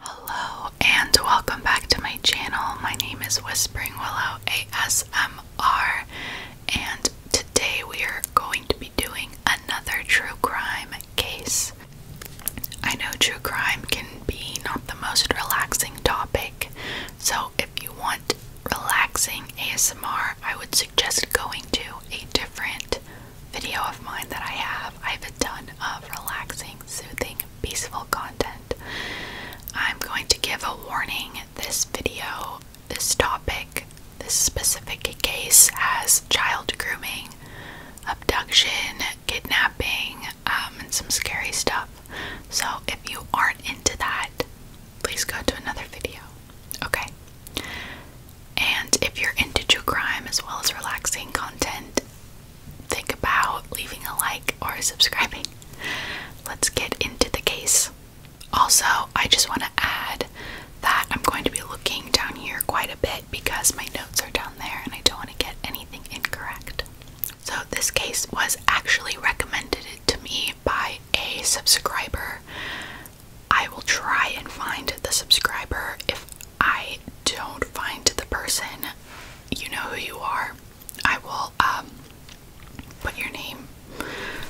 Hello and welcome back to my channel. My name is Whispering Willow ASMR, and today we are going to be doing another true crime case. I know true crime can be not the most relaxing topic, so if you want relaxing ASMR, I would suggest going to a different video of mine that I have. I have a ton of relaxing, soothing, peaceful content. I'm going to give a warning this video, this topic, this specific case has child grooming, abduction, kidnapping, um, and some scary stuff. So if you aren't into that, please go to another video. Okay. And if you're into true crime as well as relaxing content, think about leaving a like or subscribing. Let's get into the case. Also, I just want to add that I'm going to be looking down here quite a bit because my notes are down there and I don't want to get anything incorrect. So, this case was actually recommended to me by a subscriber I will try and find the subscriber. If I don't find the person, you know who you are. I will um put your name.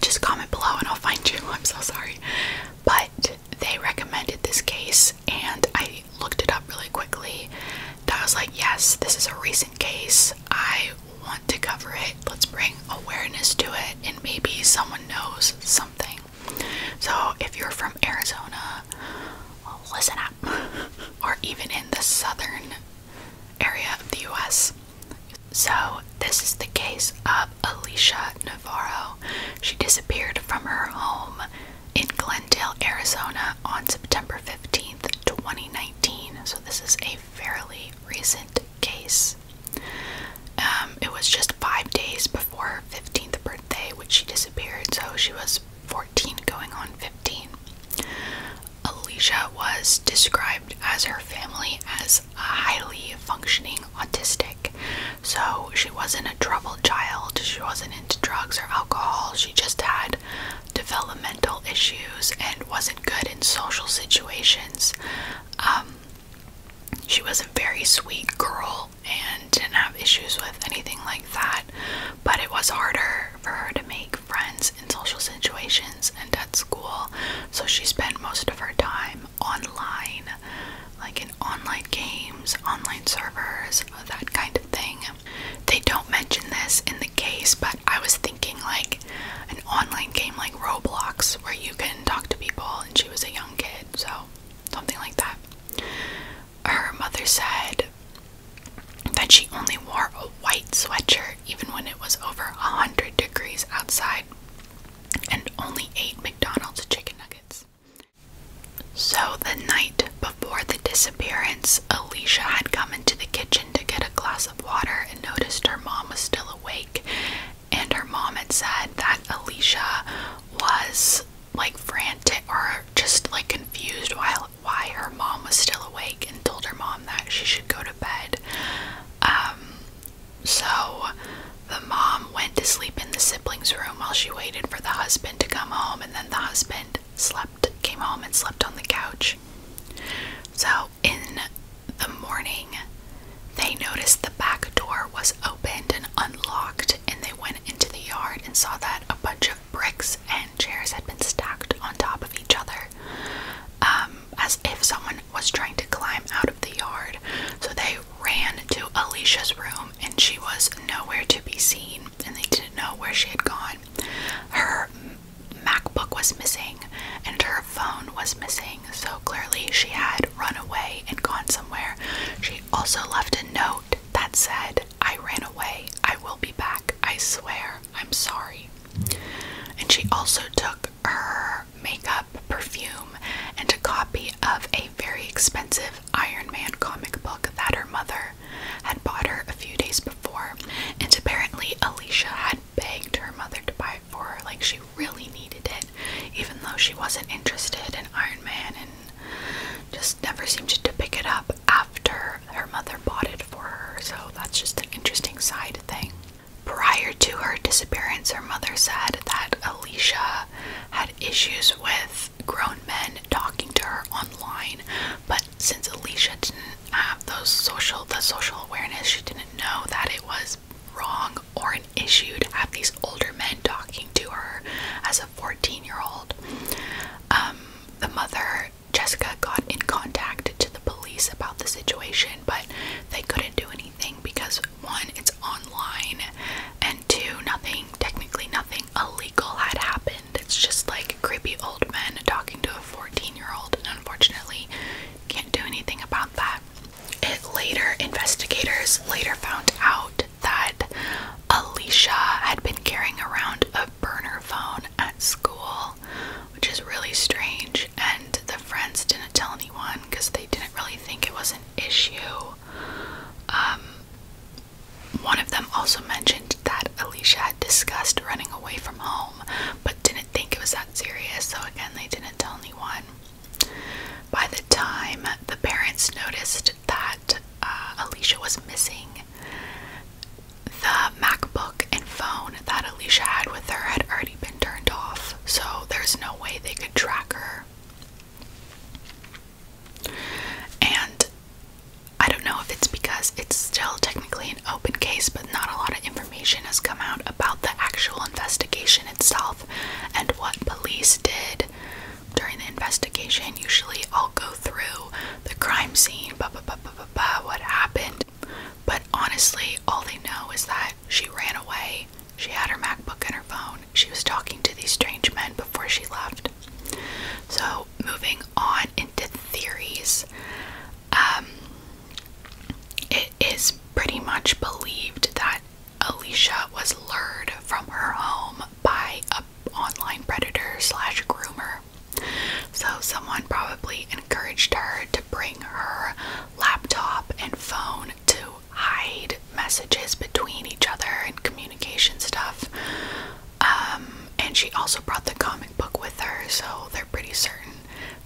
Just comment below and I'll find you. I'm so sorry. But they recommended this case and I looked it up really quickly. And I was like, yes, this is a recent case. I want to cover it. Let's bring awareness to it and maybe someone knows some something. So if you're from Arizona, listen up. or even in the southern area of the US. So this is the case of Alicia Navarro. She disappeared from her home in Glendale, Arizona on September 15th, 2019. So this is a fairly recent case. Um, it was just five days before her 15th birthday, which she disappeared, so she was 14 going on 15. Alicia was described as her family as a highly functioning autistic. So she wasn't a troubled child, she wasn't into drugs or alcohol, she just had developmental issues and wasn't good in social situations. Um, she was a very sweet girl and didn't have issues with anything like that, but it was harder for her to make friends in social situations and at school, so she spent most of her time online, like in online games, online servers, that kind of thing. They don't mention this in the case, but I was thinking like an online game like Roblox where you can talk to people and she was a young kid, so something like that. Her mother said that she only wore a white sweatshirt even when it was over 100 degrees outside and only ate McDonald's chicken nuggets. So the night before the disappearance, Alicia had come into the kitchen to get a glass of water and noticed her mom was still awake and her mom had said that Alicia was like frantic or just like confused while why her mom was still awake and told her mom that she should go to bed. Um so the mom went to sleep in the siblings' room while she waited for the husband to come home and then the husband slept came home and slept on the couch. So in the morning, they noticed the back door was opened and unlocked, and they went into the yard and saw that a bunch of bricks and chairs had been stacked on top of each other, um, as if someone was trying to climb out of the yard. So they ran to Alicia's room, and she was nowhere to be seen, and they didn't know where she had gone. Her MacBook was missing, and her phone was missing, so clearly she had run away and gone somewhere. She also left a note that said, I ran away, I will be back, I swear, I'm sorry. And she also took her makeup, perfume, and a copy of a very expensive Iron Man comic book that her mother had bought her a few days before. And apparently, Alicia had begged her mother to buy for her. Like she really needed it, even though she wasn't interested in Iron Man and just never seemed to pick it up after her mother bought it for her. So that's just an interesting side thing. Prior to her disappearance, her mother said that Alicia had issues with grown men talking to her online, but since Alicia didn't have those social the social awareness, she didn't know that it was wrong or an issue to have these older men talking to her as a 14 year old. Um, the mother, Jessica, got in contact to the police about the situation, but they couldn't do anything because one, it's online, and two, nothing, technically nothing illegal had happened. It's just like creepy old men talking to a 14 year old, and unfortunately, can't do anything about that. It later, investigators later found out that Alicia had been carrying around a burner phone at school, which is really strange. And the friends didn't tell anyone because they didn't really think it was an issue. Um, one of them also mentioned that Alicia had discussed running away from home, but didn't think it was that serious. So again, they didn't tell anyone. By the time the parents noticed that uh, Alicia was missing, the MacBook and phone that Alicia had with her had already been turned off, so there's no way they could track her. And I don't know if it's because it's still technically an open case, but not a lot of information has come out about the actual investigation itself and what police did during the investigation. Usually, I'll go through the crime scene, blah, blah, blah, blah, blah, blah, what happened. But honestly, all they know is that she ran away. She had her MacBook and her phone. She was talking to these strange men before she left. So, moving on into theories, um, it is pretty much believed that Alicia was lured from her home by an online predator slash groomer. So someone probably encouraged her to bring her laptop and phone to hide messages between each other and communication stuff. Um, and she also brought the comic book with her, so they're pretty certain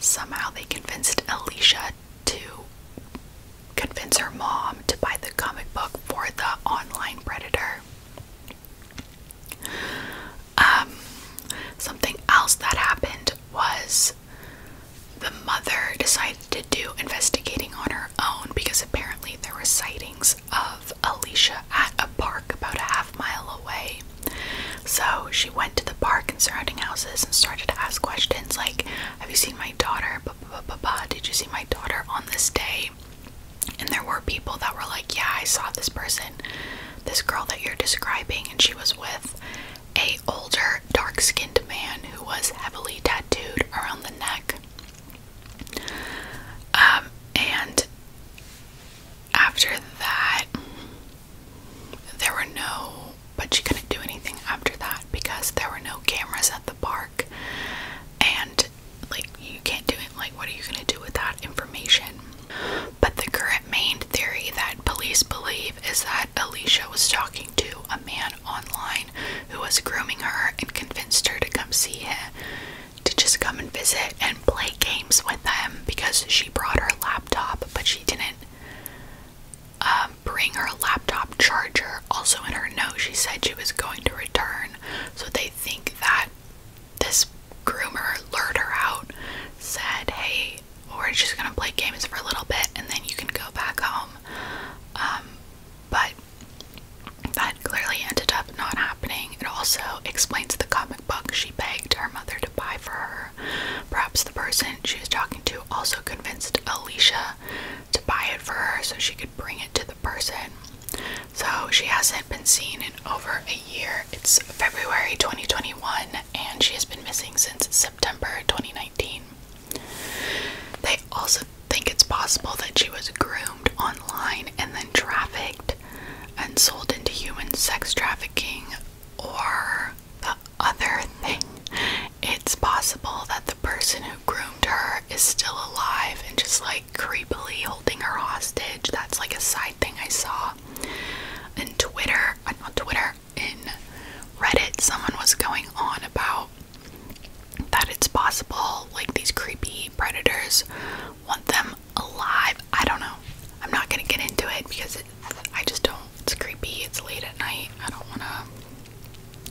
somehow they convinced Alicia to convince her mom to buy the comic book for the online predator. Um, something else that happened was the mother decided to do investigating on her own because apparently there were sightings of Alicia at a park about a half mile away. So she went to the park and surrounding houses and started to ask questions like, have you seen my daughter? Did you see my daughter on this day? And there were people that were like, Yeah, I saw this person, this girl that you're describing, and she was with a older dark-skinned man who was heavily tattooed around the neck. Um, and after that, there were no but she couldn't do anything after that because there were no cameras at the park and like you can't do it like what are you going to do with that information but the current main theory that police believe is that alicia was talking to a man online who was grooming her and convinced her to come see him to just come and visit and play games with them because she brought her laptop but she didn't um bring her laptop charger. Also, in her note, she said she was going to return, so they think that this groomer lured her out, said, Hey, we're just gonna play games for a little bit and then you can go back home. Um, but that clearly ended up not happening. It also explains the comic book she begged her mother to buy for her. Perhaps the person she was talking to also convinced Alicia to buy it for her so she could bring it to the person. So she hasn't been seen in over a year. It's February 2021 and she has been missing since September 2019. They also think it's possible that she was groomed online and then trafficked and sold into human sex trafficking or the other thing. It's possible that the person who groomed her is still alive and just like creepily holding her hostage. That's like a side thing I saw. In Twitter, not Twitter, in Reddit, someone was going on about that it's possible like these creepy predators want them alive. I don't know. I'm not gonna get into it because I just don't. It's creepy. It's late at night. I don't wanna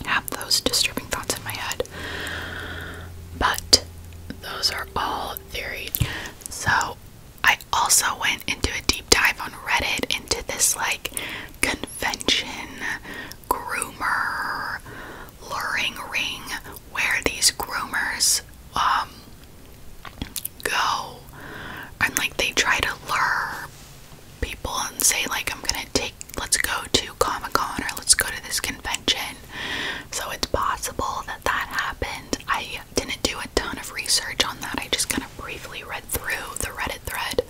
have those disturbing thoughts in my head. But those are all theory. So I also went into a deep dive on Reddit into this like convention groomer luring ring where these groomers um go and like they try to lure people and say like I'm gonna take let's go to Comic Con or let's go to this convention. So it's possible that that happened. I didn't do a ton of research on that. I just kind of briefly read through the Reddit thread.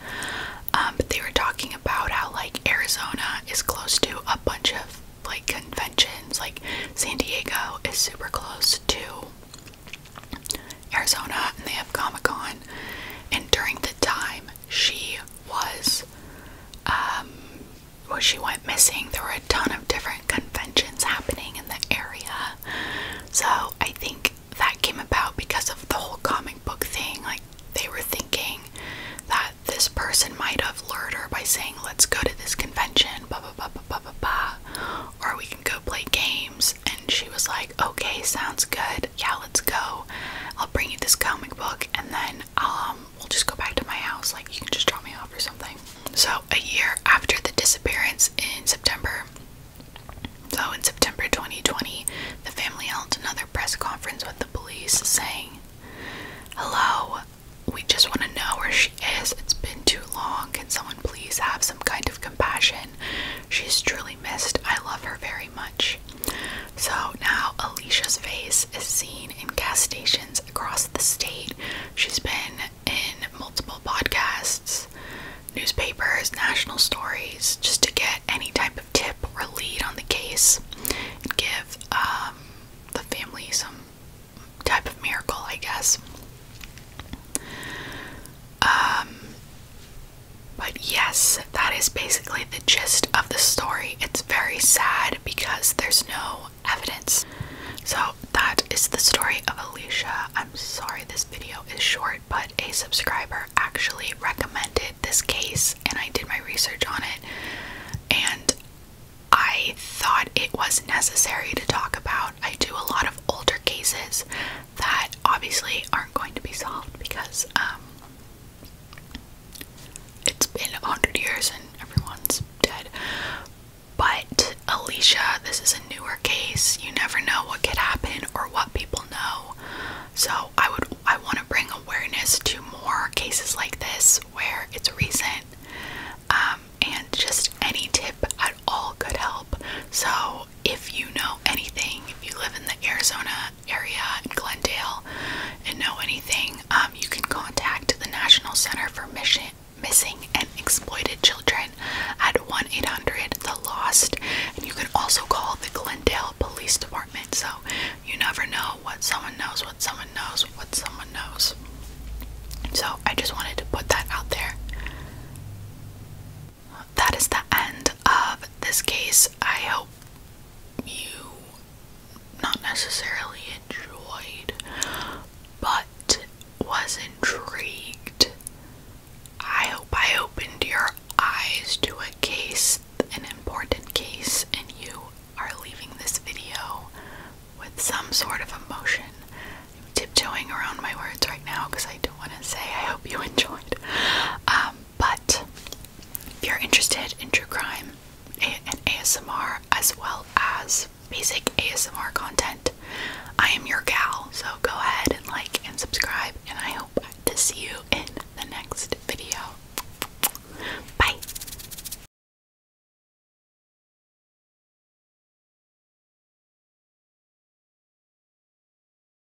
Um, but they were talking about how like Arizona is close to a bunch of like conventions. Like San Diego is super close to Arizona and they have Comic Con. And during the time she was, um, well, she went missing, there were a ton of different conventions happening in the area. So I think that came about because of the whole comic book thing. Like, they were thinking that this person might have lured her by saying, Let's go to this convention, blah, blah, blah, blah, blah, blah, or we can go play games. And she was like, Okay, sounds good. "Yeah, let's go. I'll bring you this comic book, and then um, we'll just go back to my house. Like you can just drop me off or something." So a year after the disappearance in September, so in September 2020, the family held another press conference with the police, saying, "Hello." We just want to know where she is. It's been too long. Can someone please have some kind of compassion? She's truly missed. I love her very much. So now Alicia's face is seen in gas stations across the state. She's been in multiple podcasts, newspapers, national stories, just to get any type of tip or lead on the case and give um, the family some type of miracle, I guess. Um, but yes, that is basically the gist of the story. It's very sad because there's no evidence. So, that is the story of Alicia. I'm sorry this video is short, but a subscriber actually recommended this case and I did my research on it. And I thought it was necessary to talk about. I do a lot of older cases that obviously aren't going to be solved because um, it's been a hundred years and everyone's dead. But Alicia, this is a newer case. You never know what could happen or what people know. So I would I want to bring awareness to more cases like this where it's recent. Um, and just any tip at all could help. So if you know anything, if you live in the Arizona area in Glendale and know anything, um, you can contact the National Center for Missing and Exploited Children at 1 800 The Lost. And you can also call the Glendale Police Department. So, you never know what someone knows, what someone knows, what someone knows. So, I just wanted to put that out there that is the end of this case. I hope you not necessarily enjoyed, but was intrigued. I hope I opened your eyes to a case, an important case, and you are leaving this video with some sort of emotion. I'm tiptoeing around my words right now because I don't want to say I hope you enjoyed. Um, but if you're interested in true crime and ASMR as well as basic ASMR content, I am your gal. So go ahead and like and subscribe, and I hope to see you in the next video. Bye.